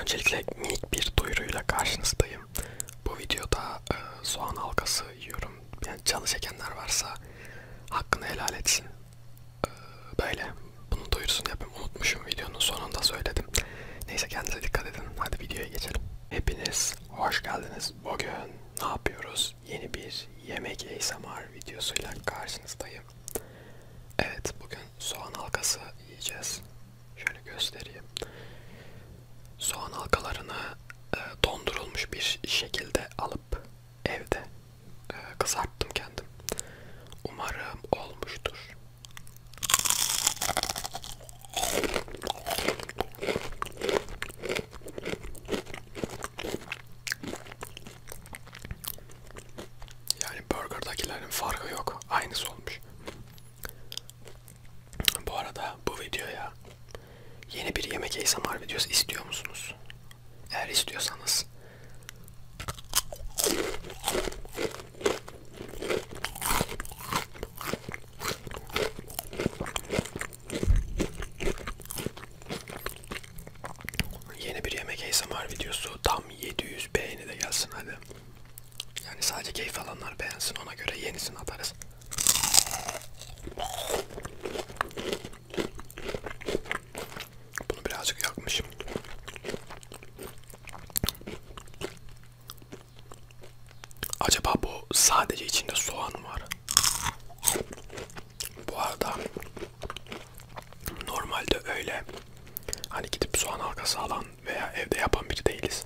Öncelikle minik bir duyuruyla karşınızdayım. Bu videoda e, soğan halkası yiyorum. Yani canı çekenler varsa hakkını helal etsin. E, böyle. Bunu duyursun yapayım. Unutmuşum videonun sonunda söyledim. Neyse kendinize dikkat edin. Hadi videoya geçelim. Hepiniz hoş geldiniz. Bugün ne yapıyoruz? Yeni bir yemek ASMR videosuyla karşınızdayım. Evet bugün soğan halkası yiyeceğiz. Şöyle göstereyim. Soğan halkalarını e, dondurulmuş bir şekilde alıp evde e, kızarttım kendim. Umarım olmuştur. Yani burgerdakilerin farkı yok. Aynısı olmuş. Bu arada bu videoya yeni bir yemek ASMR videosu istiyor musunuz? Eğer istiyorsanız Yeni bir yemek ASMR videosu tam tam 700 beğeni de gelsin hadi. Yani sadece keyif alanlar beğensin ona göre yenisini atarız. Bunu birazcık yakmışım. Acaba bu sadece içinde soğan var. Bu arada Normalde öyle hani gidip soğan halkası alan veya evde yapan biri değiliz.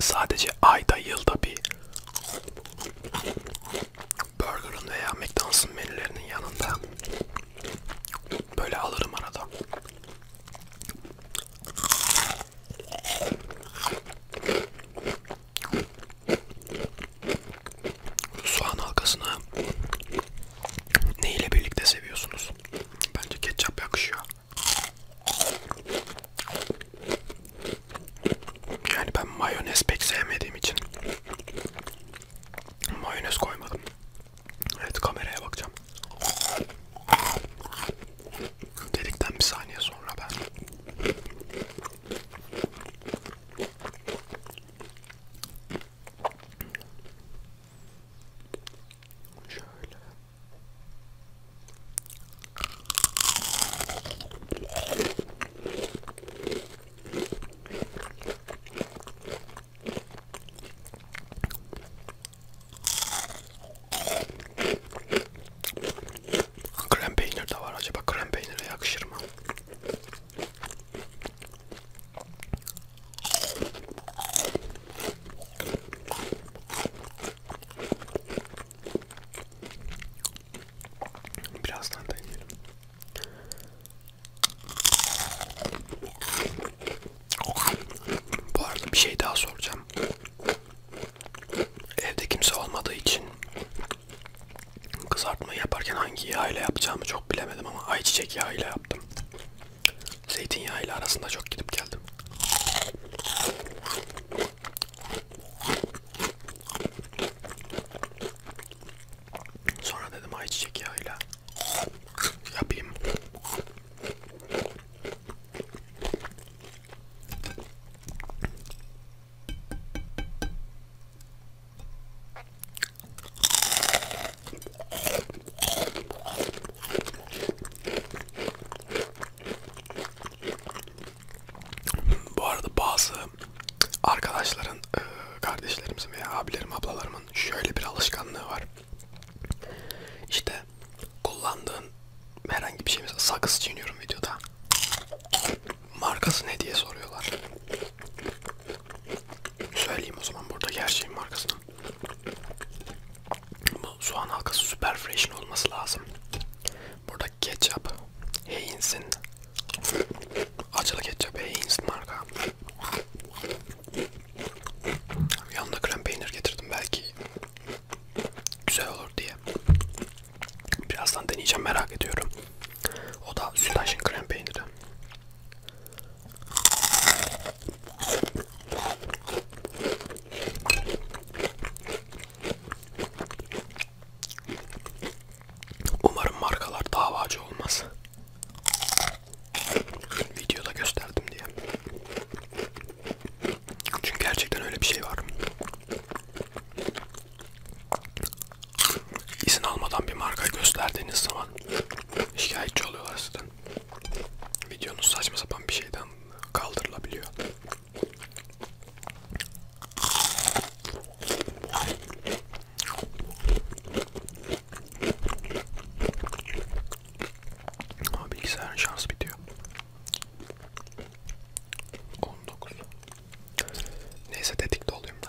Sadece ayda yılda bir Burger'ın veya McDonald's'ın menülerinin yanında böyle alırım arada. Soğan halkasını ne ile birlikte seviyorsunuz? Bence ketçap yakışıyor. Yani ben mayonez pek sevmediğim için mayonez koymadım. Evet kameraya bakacağım. Dedikten bir saniye sonra ben şöyle Krem peynir de var. Acaba krem peynire yakışır mı? Birazdan deneyelim. Bu arada bir şey daha soracağım. Evde kimse olmadığı için kızartmayı yaparken hangi yağ ile yapacağımı çok bilemedim ama ayçiçek yağı ile yaptım. Zeytinyağı ile arasında çok gidip geldim. Sonra dedim ayçiçek yağıyla yapayım. Bu arada bazı arkadaşların, kardeşlerimizin veya abilerim, ablalarımın şöyle bir alışkanlığı var. İşte kullandığın herhangi bir şey mesela sakız çiğniyorum videoda. Markası ne diye soruyorlar. Söyleyeyim o zaman burada her şeyin markasını. Bu soğan halkası süper fresh'in olması lazım. Burada ketçap, Heinz'in acılı ketçap Heinz marka. Yanında krem peynir getirdim belki güzel olur diye. Birazdan deneyeceğim merak ediyorum. O da sütaşın krem peyniri. Umarım markalar davacı olmaz. Videoda gösterdim diye. Çünkü gerçekten öyle bir şey var. İzin almadan bir marka gösterdiğiniz zaman şikayetçi oluyorlar sizden. Videonuz saçma sapan bir şeyden kaldırılabiliyor. Ama bilgisayarın şansı bitiyor. 19. Neyse tetikte olayım da.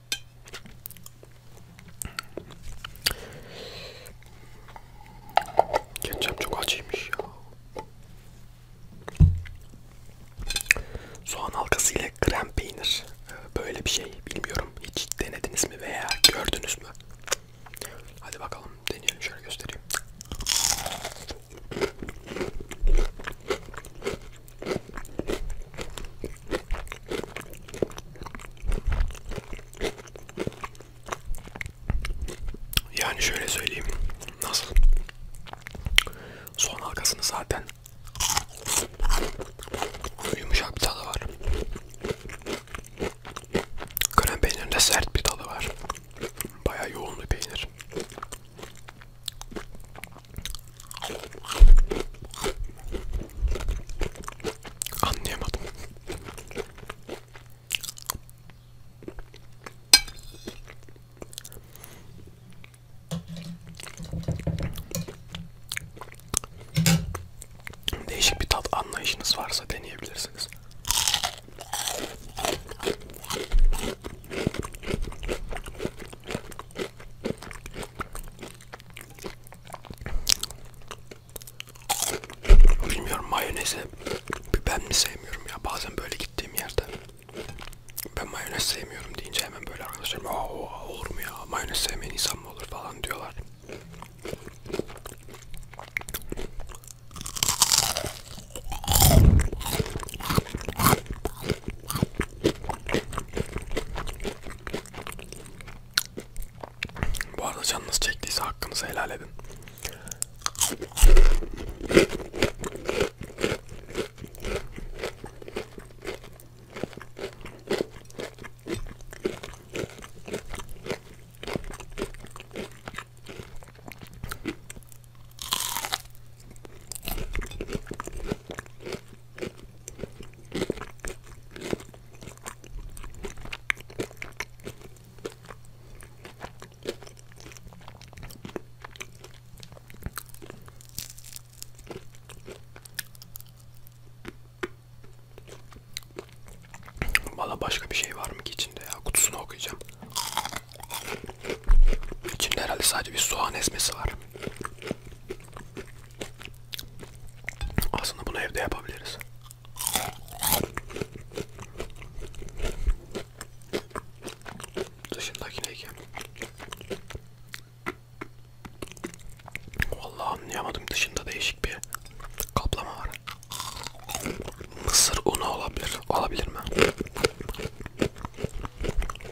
Ketçap çok acıymış ya. Soğan halkası ile krem peynir. Böyle bir şey bilmiyorum. Hiç denediniz mi veya gördünüz mü? Hadi bakalım deneyelim şöyle göstereyim. Yani şöyle söyleyeyim. Nasıl? Soğan halkasını zaten yumuşak bir tadı var. Krem peynirinde sert bir tadı var. Bayağı yoğun bir peynir. Anlayamadım. Değişik bir tat anlayışınız varsa deneyebilirsiniz. Bilmiyorum mayonezi ben mi sevmiyorum ya bazen böyle gittiğim yerde ben mayonez sevmiyorum deyince hemen böyle arkadaşlarım oha olur mu ya mayonez sevmeyen insan mı olur falan diyorlar. Bu arada canınız çektiyse hakkınızı helal edin. Valla başka bir şey var mı ki içinde ya? Kutusunu okuyacağım. İçinde herhalde sadece bir soğan ezmesi var. Aslında bunu evde yapabiliriz. Dışındaki ne ki? Vallahi anlayamadım. Dışında değişik bir kaplama var. Mısır unu olabilir. Olabilir mi?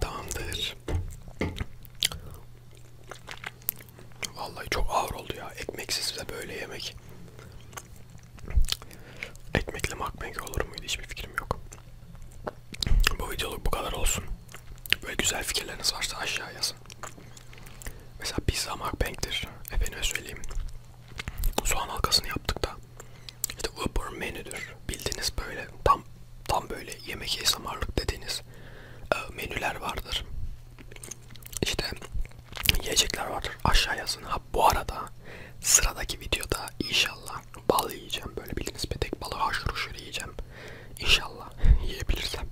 Tamamdır. Vallahi çok ağır oldu ya. Ekmeksiz de böyle yemek. Ekmekle makmek olur muydu hiçbir fikrim yok. Bu videoluk bu kadar olsun. Böyle güzel fikirleriniz varsa aşağı yazın. Mesela pizza makbank'tir. Efendime söyleyeyim. Soğan halkasını yaptık da işte Uber menüdür. Bildiğiniz böyle tam tam böyle yemek esnamarlık dediğiniz e, menüler vardır. İşte yiyecekler vardır. Aşağı yazın. Ha bu arada sıradaki videoda inşallah bal yiyeceğim. Böyle bildiğiniz petek balı haşır huşur yiyeceğim. İnşallah yiyebilirsem.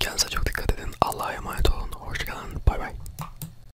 Kendinize çok dikkat edin. Allah'a emanet olun. Hoşçakalın. Bay bay.